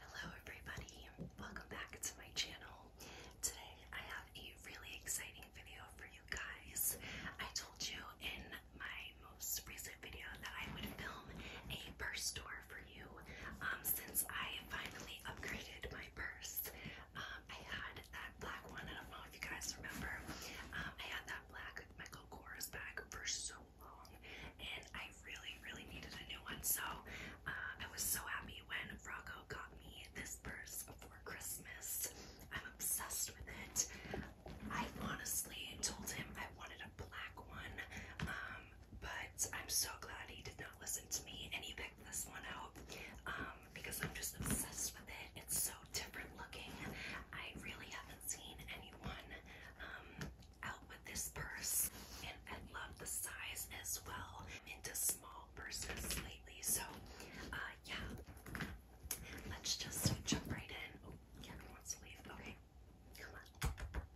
Hello, everybody, welcome back to my channel. Today, I have a really exciting video for you guys. I told you in my most recent video that I would film a purse tour for you. Um, since I finally upgraded my purse, um, I had that black one. I don't know if you guys remember. Um, I had that black Michael Kors bag for so long, and I really, really needed a new one. So uh, I was so happy when Rocco got me this purse for Christmas. I'm obsessed with it. I honestly told him I wanted a black one but I'm so glad he did not listen to me and he picked this one out um, because I'm just obsessed with it. It's so different looking. I really haven't seen anyone um, out with this purse, and I love the size as well. into small purses lately, so uh, yeah. Let's just jump right in. Oh, Kevin wants to leave. Okay, come on.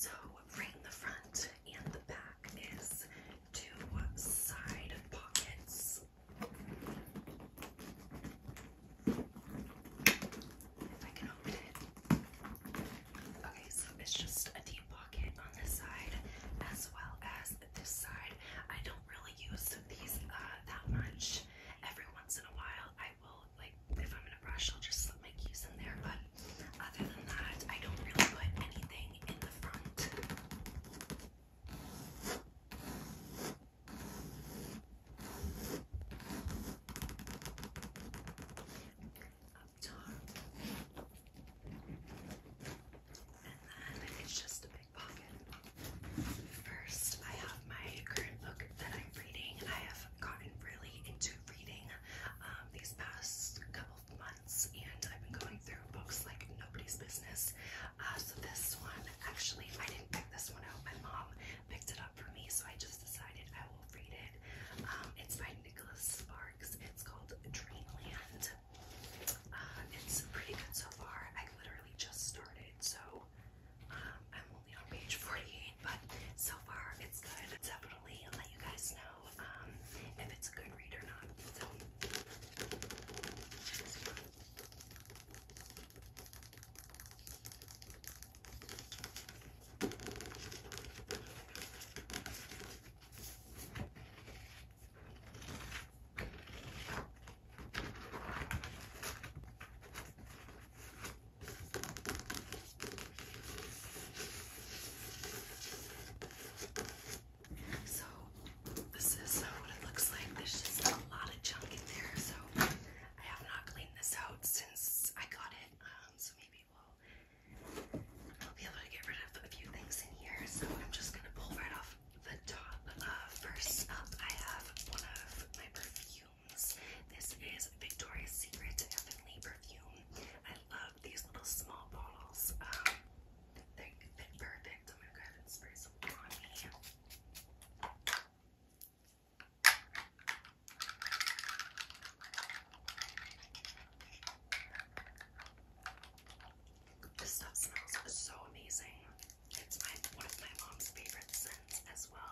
So, right in the front and the back is two side pockets. If I can open it. Okay, so it's just a deep pocket on this side as well as this side. I don't really use these uh, that much. Every once in a while, I will like if I'm in a rush, I'll just slip my keys in there. But other than that, I don't really put anything in the front up top. And then it's just a big pocket. First, I have my current book that I'm reading. I have gotten really into reading um, these past couple months, and I've been going through books like nobody's business. Uh, so, this one actually, I didn't pick this one out. My mom picked it up for me, so I just decided I will read it. Um, it's by Nicholas Sparks. It's called Dreamland. Uh, it's pretty good so far. I literally just started, so um, I'm only on page 48, but so far it's good. Definitely let you guys know um, if it's a good read or not. So this is what it looks like. There's just a lot of junk in there. So I have not cleaned this out since I got it. Um, so maybe we'll I'll be able to get rid of a few things in here, so I'm just gonna pull right off the top. Uh, first up, I have one of my perfumes. This is Victoria's Secret Heavenly Perfume. I love these little small bottles. Um, they fit perfect. I'm gonna go spray some on me. This stuff smells so amazing. It's my one of my mom's favorite scents as well.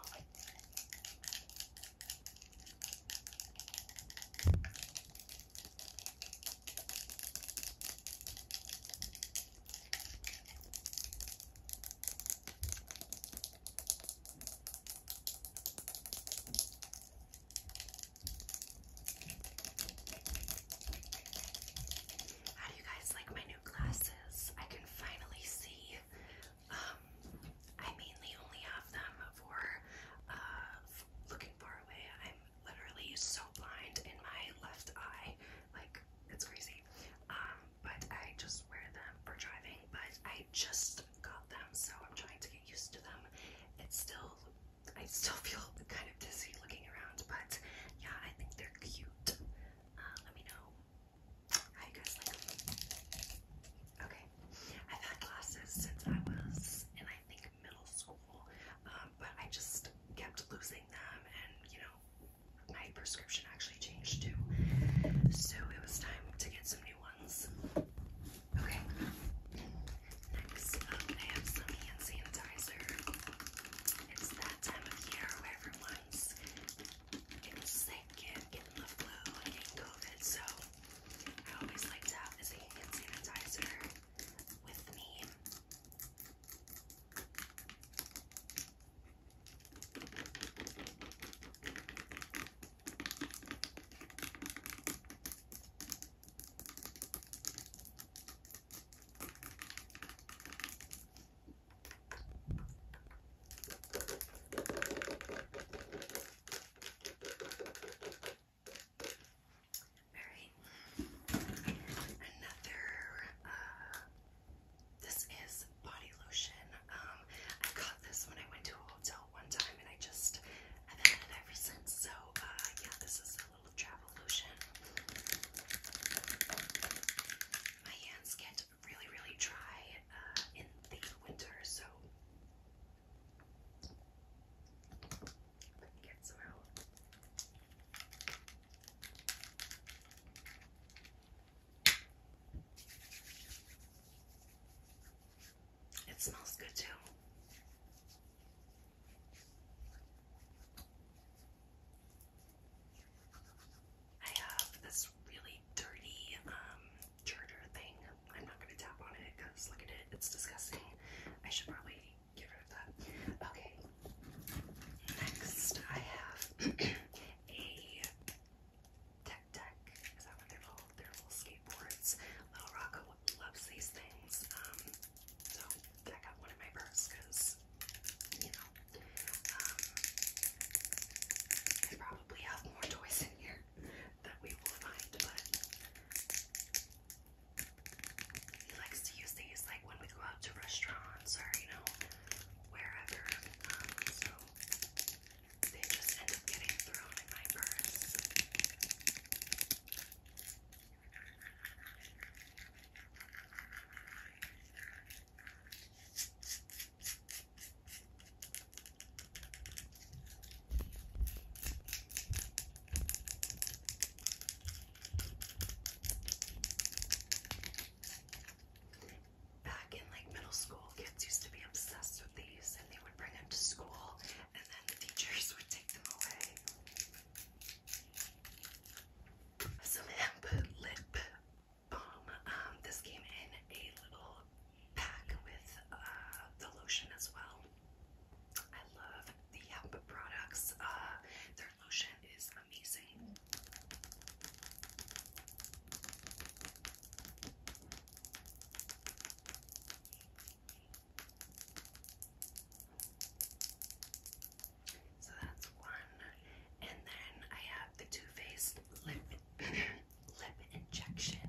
How do you guys like my new glasses? I can finally see. Um, I mainly only have them for uh, looking far away. I'm literally so blind in my left eye, like it's crazy. Um, but I just wear them for driving. But I I just got them, so I'm trying to get used to them. It's still, I still feel kind of dizzy looking around, but yeah, I think they're cute. Uh, let me know how you guys like them. Okay, I've had glasses since I was in, I think, middle school, um, but I just kept losing them, and you know, my prescription actually changed too. So it was time to get some new ones. Okay. Next up, I have some hand sanitizer. It's that time of year where everyone's getting sick and getting the flu and getting COVID, so I always like to have this hand sanitizer with me. All right, another uh, this is body lotion. Um, I got this when I went to a hotel one time, and I just I've had it ever since. So uh, yeah, this is a little travel lotion. My hands get really, really dry uh, in the winter, so let me get some out. It smells good too. I have this really dirty um charger thing. I'm not gonna tap on it because look at it, it's disgusting. I should probably get rid that. Okay. Next I have a tech tech. Is that what they're called? They're little skateboards. Little Rocco loves these things. Um, so I got one in my purse because, you know, um, I probably have more toys in here that we will find, but he likes to use these like when we go out to restaurants or, you know, wherever. Um, so they just end up getting thrown in my purse back in like middle school, kids used to be obsessed with these and they would bring them to school and then the teachers would take them away. Some hemp lip balm. Um, this came in a little pack with uh, the lotion as well. I love the hemp products. Uh, their lotion is so that's one, and then I have the Too Faced lip lip injection.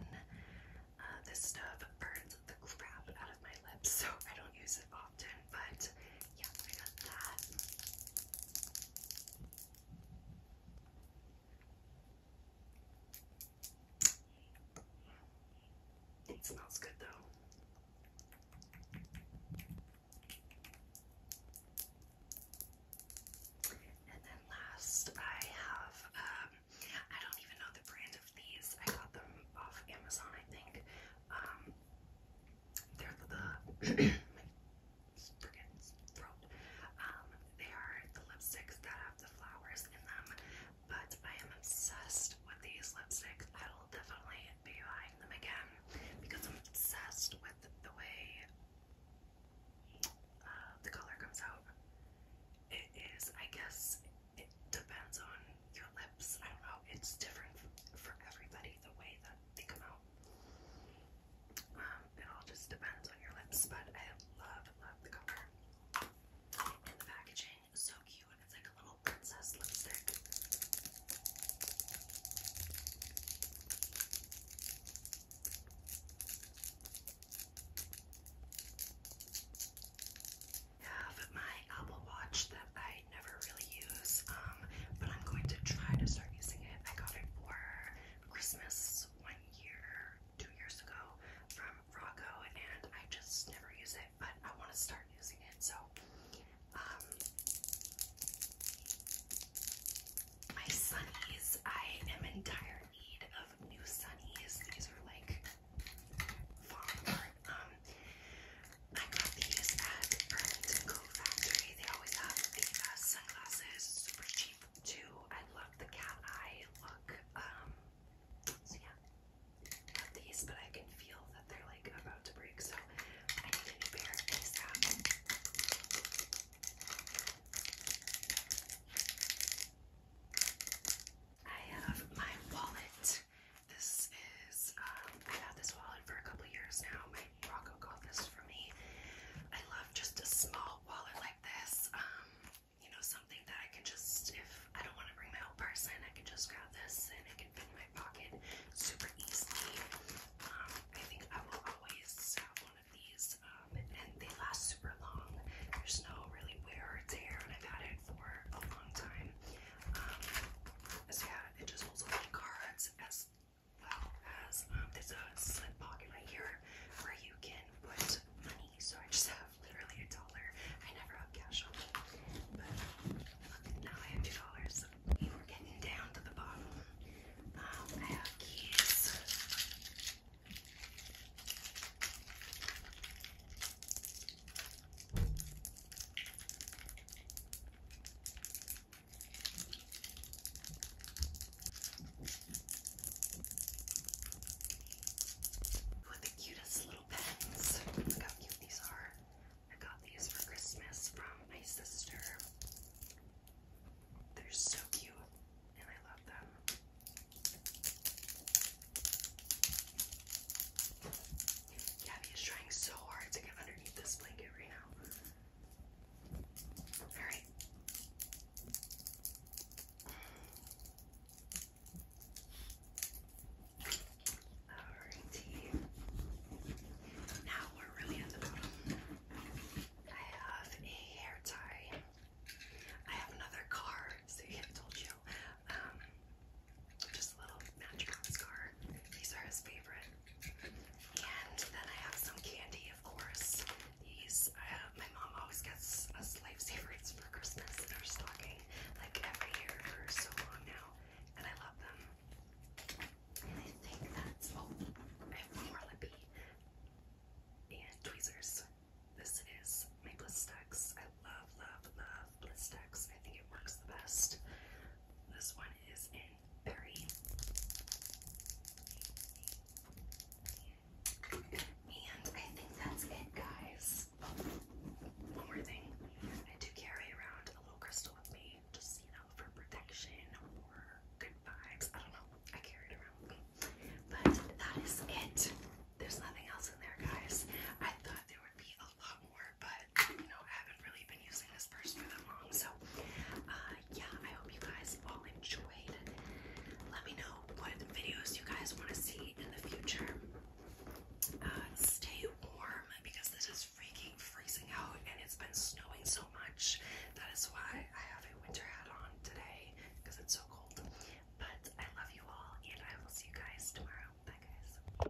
Uh, this stuff burns the crap out of my lips, so I don't use it often. But yeah, I got that. It smells good though. And then last, I have, um, I don't even know the brand of these. I got them off Amazon, I think. Um, they're the freaking throat. Um, they are the lipsticks that have the flowers in them, but I am obsessed with these lipsticks. I will definitely be buying them again because I'm obsessed with the way uh, the color comes out. It is, I guess, it depends on your lips. I don't know. It's different for everybody the way that they come out. Um, it all just depends on your lips, but I love, love the color. And the packaging is so cute. It's like a little princess lipstick. I have my Apple Watch that I never really use, um, but I'm going to try to start using it. I got it for Christmas one year, two years ago from Rocco, and I just never use it, but I want to start using it, so um, my sunnies, I am in dire need of new sunnies. These are like I got these at Burlington Coat Factory. They always have the best sunglasses, super cheap too. I love the cat eye look. Um, so yeah, love these, but I can feel that they're like about to break, so I need a new pair I have my wallet. This is, um, I've had this wallet for a couple years now my Rocco got this for me. I love just a small wallet like this. Um, you know, something that I can just, if I don't want to bring my whole purse in, I can just grab this and it can fit in my pocket super easily. Um, I think I will always have one of these, um, and they last super long. There's no really wear or tear, and I've had it for a long time. Um, so yeah, it just holds a lot of cards as well as um, slip pocket right here where you can put money. So I just have literally a dollar. I never have cash on me, but look, now I have two dollars. We were getting down to the bottom. Um, I have keys. With the cutest little pens. Look how cute these are. I got these for Christmas from my sister. They're so cute and I love them. Gabby is trying so hard to get underneath this blanket right now. Alright. Alrighty. Now we're really at the bottom. I have a hair tie. I have another card, so I told you. Um, just a little magic mascara. These are his favorite. And then I have some candy, of course. These, uh, my mom always gets us life favorites for Christmas in her stocking, like every year for so long now. And I love them. And I think that's, oh, I more lippy. And tweezers. This is my Bliss I love, love, love of I think it works the best. This one is in Berry. And I think that's it, guys. Oh, one more thing. I do carry around a little crystal with me, just, you know, for protection or good vibes. I don't know. I carry it around But that is it. There's nothing else in there, guys. I thought there would be a lot more, but you I haven't really been using this purse for that long. So, uh, yeah, I hope you guys all enjoyed. Let me know what videos you guys want to see in the future. Uh, stay warm because this is freaking freezing out and it's been snowing so much. That is why I have a winter hat on today because it's so cold. But I love you all and I will see you guys tomorrow. Bye, guys.